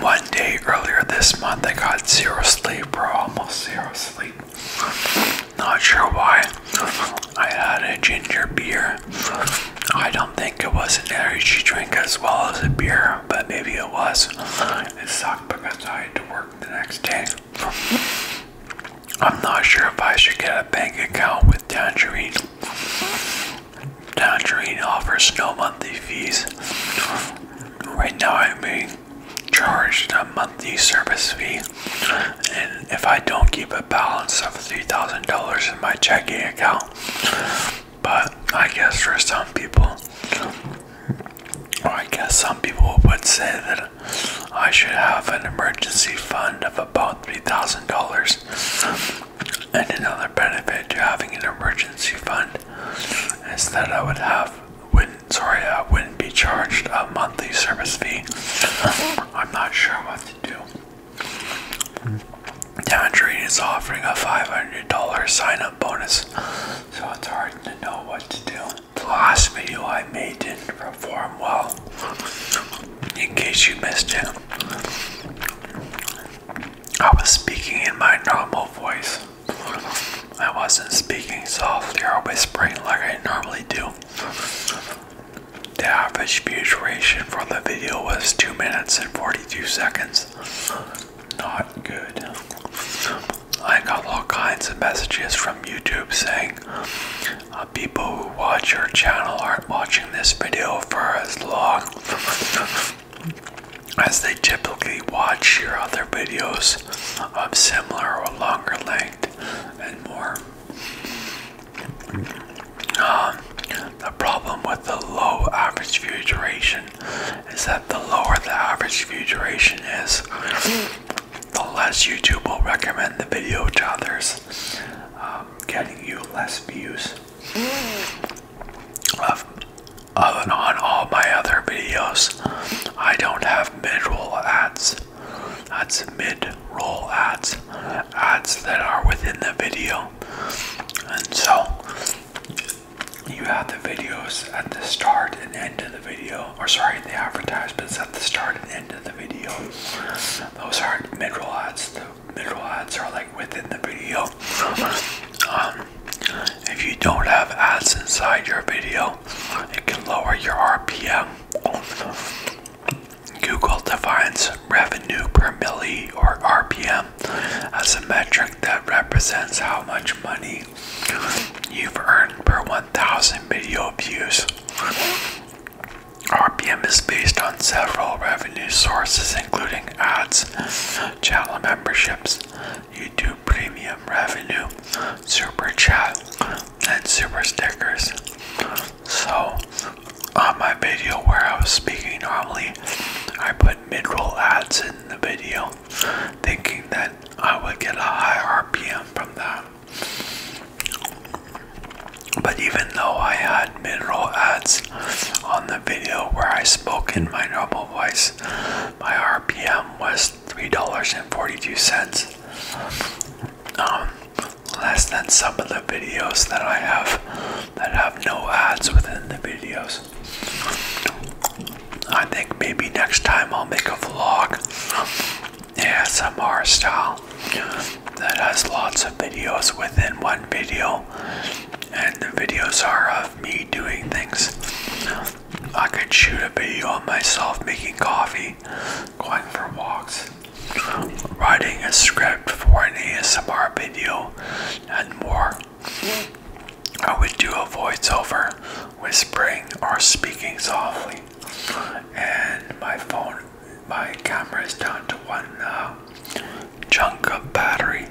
One day earlier this month, I got zero sleep, or Almost zero sleep. Not sure why. I had a ginger beer. I don't think it was an energy drink as well as a beer, but maybe it was. It sucked because I had to work the next day. I'm not sure if I should get a bank account with Tangerine. Tangerine offers no monthly fees. Right now, I'm being charged a monthly service fee, and if I don't keep a balance of $3,000 in my checking account, but I guess for some people, I guess some people would say that I should have an emergency fund of about $3,000. And another benefit to having an emergency fund Instead, I would have wouldn't sorry I uh, wouldn't be charged a monthly service fee. I'm not sure what to do. Tangerine is offering a $500 sign up bonus, so it's hard to know what to do. The last video I made didn't perform well, in case you missed it. I was speaking in my normal voice. I wasn't speaking softly or whispering like I normally do. The average duration for the video was 2 minutes and 42 seconds. Not good. I got all kinds of messages from YouTube saying uh, people who watch your channel aren't watching this video for as long as they typically watch your other videos of similar or longer length and more. Um, the problem with the low average view duration is that the lower the average view duration is, the less YouTube will recommend the video to others, um, getting you less views on all my other videos, I don't have mid-roll ads. That's mid-roll ads, ads that are within the video. And so you have the videos at the start and end of the video, or sorry, the advertisements at the start and end of the video. Those are mid-roll ads middle ads are like within the video. Um, if you don't have ads inside your video, it can lower your RPM. Google defines revenue per milli or RPM as a metric that represents how much money you've earned per 1,000 video views. RPM is based on several revenue sources, including ads, channel memberships, YouTube premium revenue, super chat, and super stickers. So, on my video where I was speaking normally, I put mid roll ads in the video, thinking that I would get a high RPM from that. But even though I had mineral ads on the video where I spoke in my normal voice. My RPM was $3.42. Um, less than some of the videos that I have that have no ads within the videos. I think maybe next time I'll make a vlog ASMR style that has lots of videos within one video and the videos are of me doing things. I could shoot a video of myself making coffee, going for walks, writing a script for an ASMR video, and more. I would do a voiceover, whispering or speaking softly, and my phone, my camera is down to one now chunk of battery,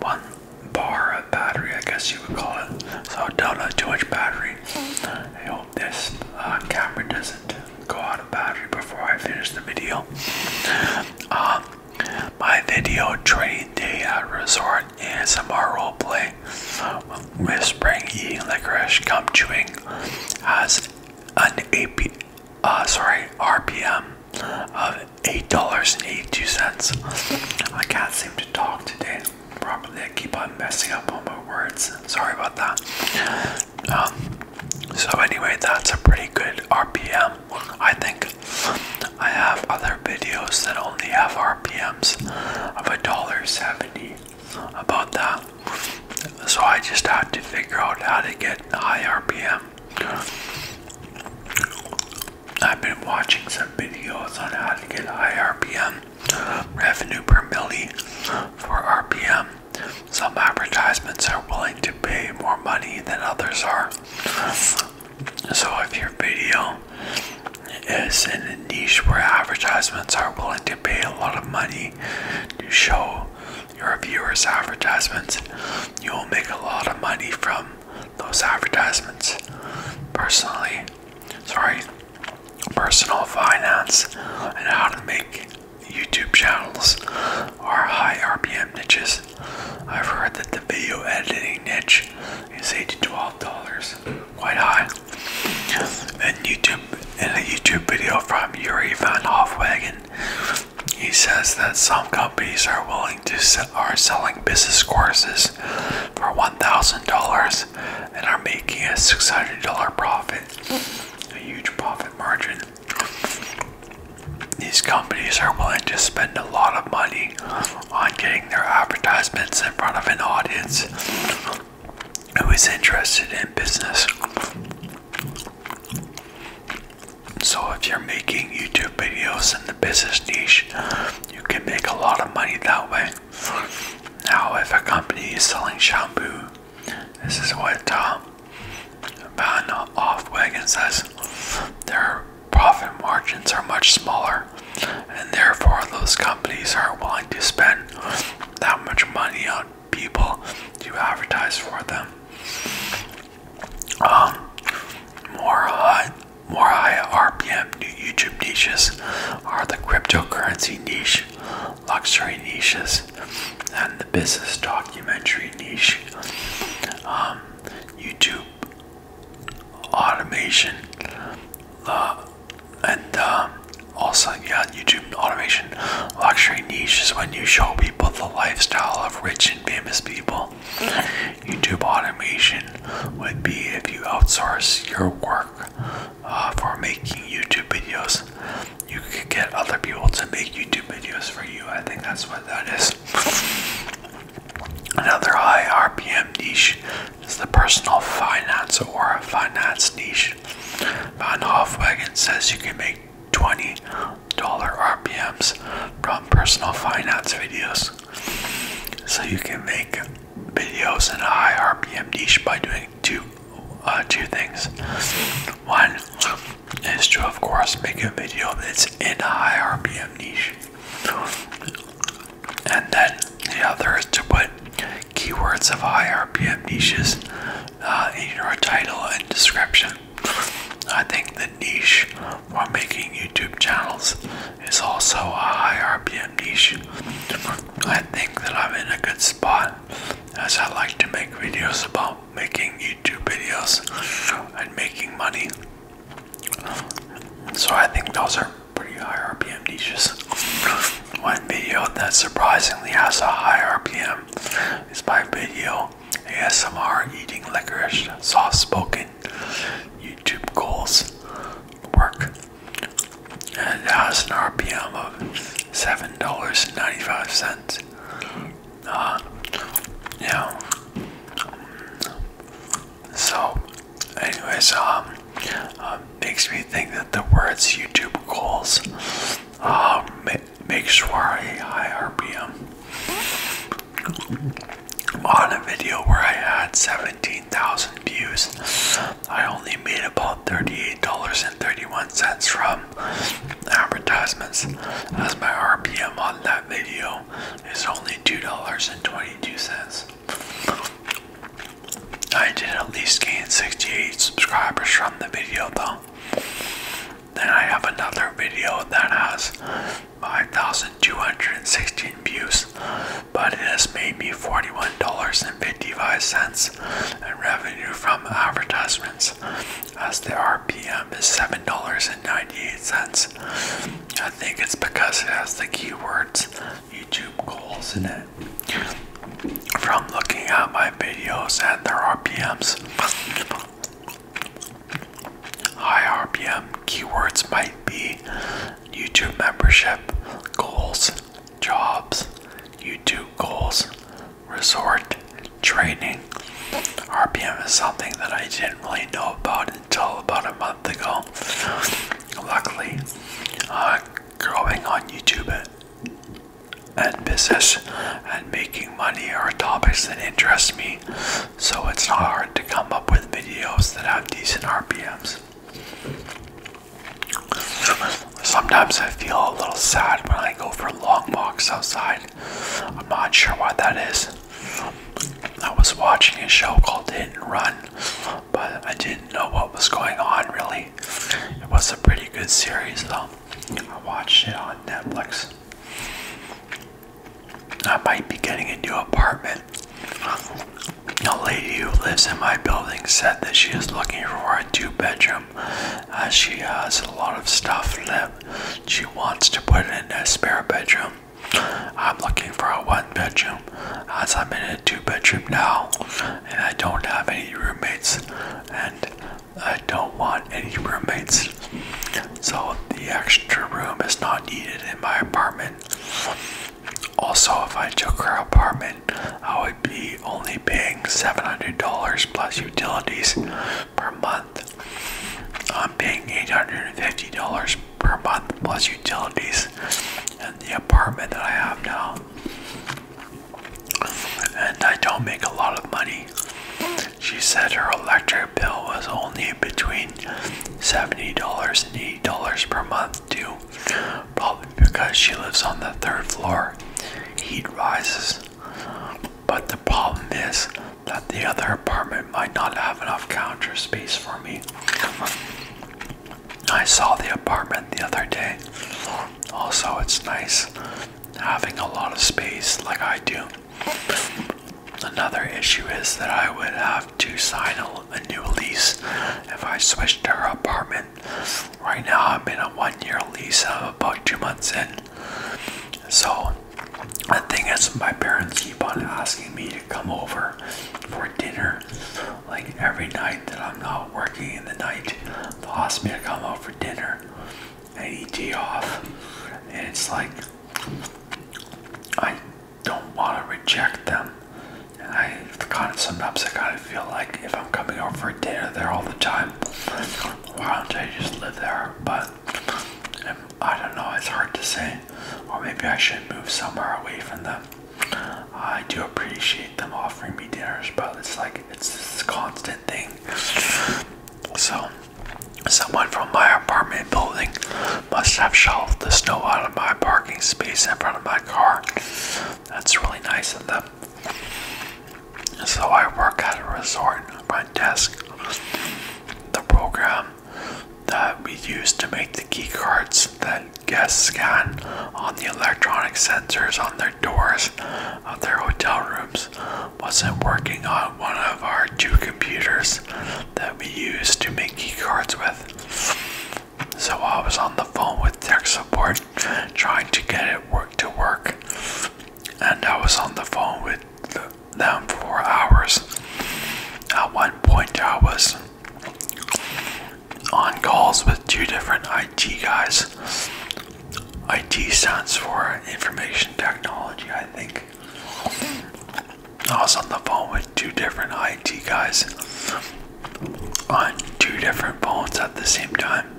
one bar of battery, I guess you would call it. So don't let too much battery. I hope this uh, camera doesn't go out of battery before I finish the video. Um, my video trade day at resort role roleplay with springy licorice, gum chewing has an AP, uh, sorry, RPM of $8.82. I can't seem to talk today Probably I keep on messing up all my words. Sorry about that. Um, so anyway, that's a pretty good RPM. I think I have other videos that only have RPMs of $1.70 about that. So I just had to figure out how to get high RPM I've been watching some videos on how to get high RPM revenue per milli for RPM. Some advertisements are willing to pay more money than others are. So if your video is in a niche where advertisements are willing to pay a lot of money to show your viewers' advertisements, you will make a lot of money from those advertisements. Personally, sorry, personal finance and how to make YouTube channels are high RPM niches. I've heard that the video editing niche is eight dollars, quite high. And YouTube in a YouTube video from Yuri Van Hofwagen, he says that some companies are willing to sell, are selling business courses for $1,000 and are making a $600 profit, a huge profit margin. These companies are willing to spend a lot of money on getting their advertisements in front of an audience who is interested in business. So, if you're making YouTube videos in the business niche, you can make a lot of money that way. Now, if a company is selling shampoo, this is what uh, Van Offwagon says their profit margins are much smaller, and therefore, those companies are willing to spend that much money on people you advertise for them. Um, more high, more high RPM YouTube niches are the cryptocurrency niche, luxury niches, and the business documentary niche. Um, YouTube automation, uh, and um, also yeah, YouTube automation Luxury niche is when you show people the lifestyle of rich and famous people. Mm-hmm. YouTube automation would be if you outsource your work uh, for making YouTube videos. You could get other people to make YouTube videos for you. I think that's what that is. Another high RPM niche is the personal finance or finance niche. Van Hofwagen says you can make $20 RPMs from personal finance videos. So you can make videos in a high RPM niche by doing two uh, two things. One is to of course make a video that's in a high RPM niche. And then the other is to put keywords of high RPM niches uh, in your title and description. I think the niche for making YouTube channels is also a high RPM niche. I think that I'm in a good spot as I like to make videos about making YouTube videos and making money. So I think those are pretty high RPM niches. One video that surprisingly has a high RPM it's my video ASMR eating licorice soft spoken YouTube goals work and has an RPM of seven dollars and ninety five cents. Uh, yeah. So, anyways, um, uh, makes me think that the words YouTube goals um, make sure a high RPM. On a video where I had 17,000 views, I only made about $38.31 from advertisements, as my RPM on that video is only $2.22. I did at least gain 68 subscribers from the video though. Then I have another video that has 5,216 views, but it has made me $41.55 in revenue from advertisements as the RPM is $7.98. I think it's because it has the keywords YouTube goals in it from looking at my videos and their RPMs. High RPM keywords might be YouTube membership, goals, jobs, YouTube goals, resort, training. RPM is something that I didn't really know about until about a month ago. Luckily, I'm uh, growing on YouTube, and business and making money are topics that interest me, so it's not hard to come up with videos that have decent RPMs. Sometimes I feel a little sad when I go for long walks outside. I'm not sure why that is. I was watching a show called Hit and Run, but I didn't know what was going on really. It was a pretty good series though. I watch it on Netflix. I might be getting a new apartment. A lady who lives in my building said that she is looking for a two bedroom. Uh, she has a lot of stuff that she wants to put in a spare bedroom. I'm looking for a one bedroom as I'm in a two bedroom now and I don't have any roommates and I don't want any roommates. So the extra room is not needed in my apartment. Also, if I took her apartment, I would be only paying $700 plus utilities per month. I'm paying $850 per month plus utilities in the apartment that I have now and I don't make a lot of money. She said her electric bill was only between $70 and $80 per month, too, probably because she lives on the third floor. Heat rises. But the problem is that the other apartment might not have enough counter space for me. I saw the apartment the other day also, it's nice having a lot of space like I do. Another issue is that I would have to sign a, new lease if I switched to her apartment. Right now, I'm in a one year lease, i about two months in. So, the thing is, my parents keep on asking me to come over for dinner like every night that I'm not working in the night. the will ask come out for dinner and eat tea off. And it's like, I don't want to reject them. And I kind of sometimes I kind of feel like if I'm coming over for dinner there all the time, why don't I just live there? But um, I don't know, it's hard to say. Or maybe I should move somewhere away from them. I do appreciate them offering me dinners, but it's like it's this constant thing. So, someone from my apartment building must have shoveled the snow out of my parking space in front of my car. That's really nice of them. So, I work at a resort front desk. The program that we use to make the key cards that guests scan on the electronic sensors on their doors of their hotel rooms wasn't working on one of our two computers that we used to make key cards with. So I was on the phone with tech support trying to get it work to work. And I was on the phone with them for hours. At one point I was on calls with two different IT guys. IT stands for information technology, I think. I was on the phone with two different IT guys on two different phones at the same time.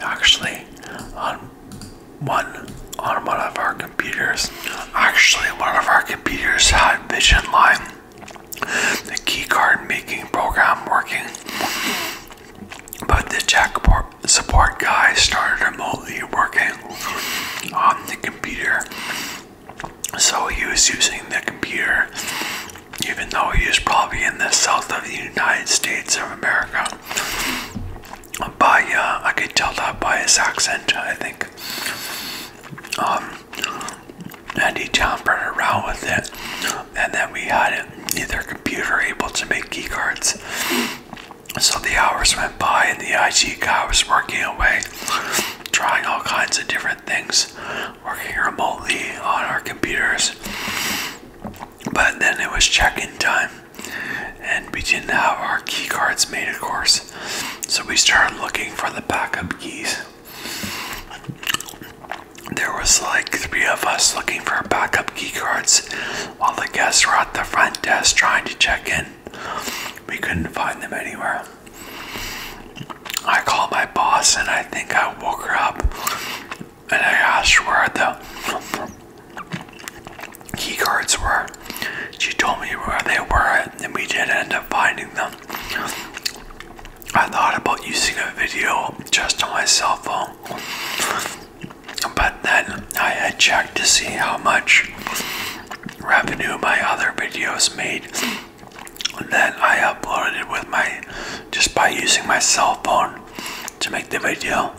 Actually, on one on one of our computers. Actually, one of our computers had Vision Line the keycard making program working. But the jack support guy started remotely working on the computer. So he was using the computer, even though he was probably in the south of the United States of America. But yeah, I could tell that by his accent, I think. Um, and he jumpered around with it, and then we had neither computer able to make keycards. So the hours went by, and the IT guy was working away, trying all kinds of different things, working remotely on our computers. But then it was check-in time, and we didn't have our keycards made, of course. So we started looking for the backup keys. There was like three of us looking for backup key cards while the guests were at the front desk trying to check in. We couldn't find them anywhere. I called my boss and I think I woke her up and I asked where the key cards were. She told me where they were and we did end up finding them. I thought about using a video just on my cell phone, but then I had checked to see how much revenue my other videos made. And then I uploaded it with my just by using my cell phone to make the video,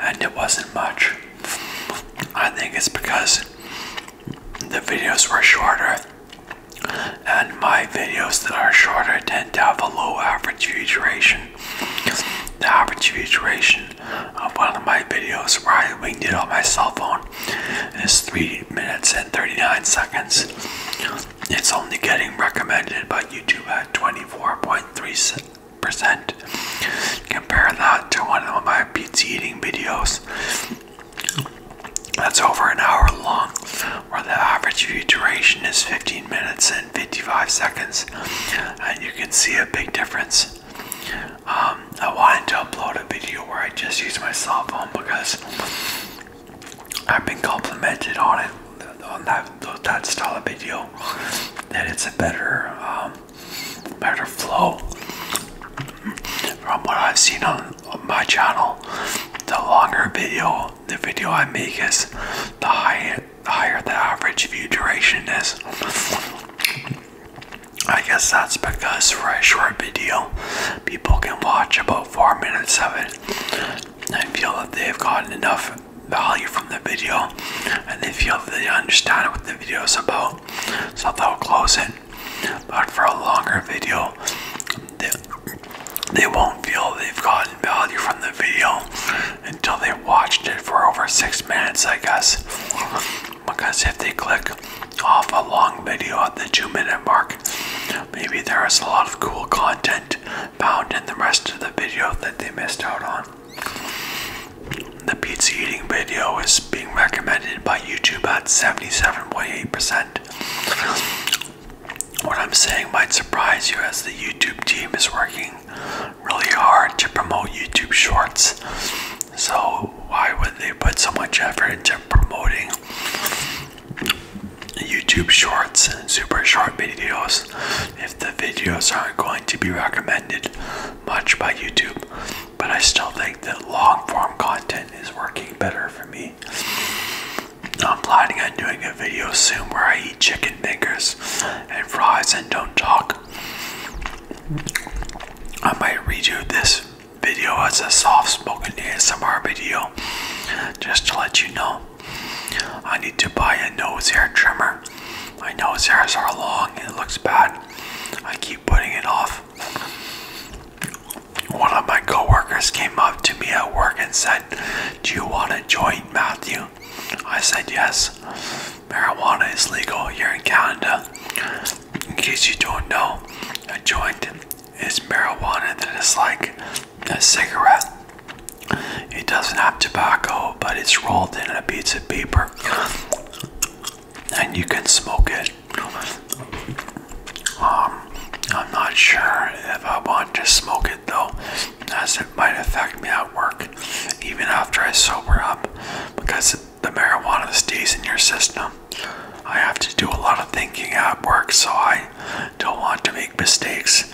and it wasn't much. I think it's because the videos were shorter and my videos that are shorter tend to have a low average view duration. The average view duration of one of my videos where I winged it on my cell phone is 3 minutes and 39 seconds. It's only getting recommended by YouTube at 24.3%. Compare that to one of my pizza eating videos that's over an hour long, where the average view duration is 15 minutes and 55 seconds, and you can see a big difference. Um, I wanted to upload a video where I just use my cell phone because I've been complimented on it, on that that style of video, that it's a better, um, better flow from what I've seen on on my channel, the longer video the video I make is, the higher the higher the average view duration is. I guess that's because for a short video, people can watch about four minutes of it and feel that they've gotten enough value from the video and they feel that they understand what the video is about so they'll close it but for a longer video, they, won't feel they've gotten value from the video until they have watched it for over six minutes, I guess. Because if they click off a long video at the two minute mark, maybe there is a lot of cool content found in the rest of the video that they missed out on. The pizza eating video is being recommended by YouTube at 77.8%. What I'm saying might surprise you as the YouTube team is working really hard to promote YouTube Shorts. So, why would they put so much effort into promoting YouTube Shorts and super short videos if the videos aren't going to be recommended much by YouTube? But I still think that long form content is working better for me. I'm planning on doing a video soon where I eat chicken fingers and fries and don't talk. I might redo this video as a soft spoken ASMR video just to let you know. I need to buy a nose hair trimmer. My nose hairs are long and it looks bad. I keep putting it off. One of my coworkers came up to me at work and said, "Do you want to join, Matthew?" I said yes. Marijuana is legal here in Canada. In case you don't know, a joint is marijuana that is like a cigarette. It doesn't have tobacco, but it's rolled in a piece of paper, and you can smoke it um, I'm not sure if I want to smoke it though, as it might affect me at work, even after I sober up, because the marijuana stays in your system. I have to do a lot of thinking at work, so I don't want to make mistakes,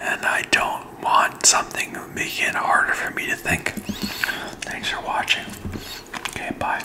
and I don't want something making it harder for me to think. Thanks for watching. Okay, bye.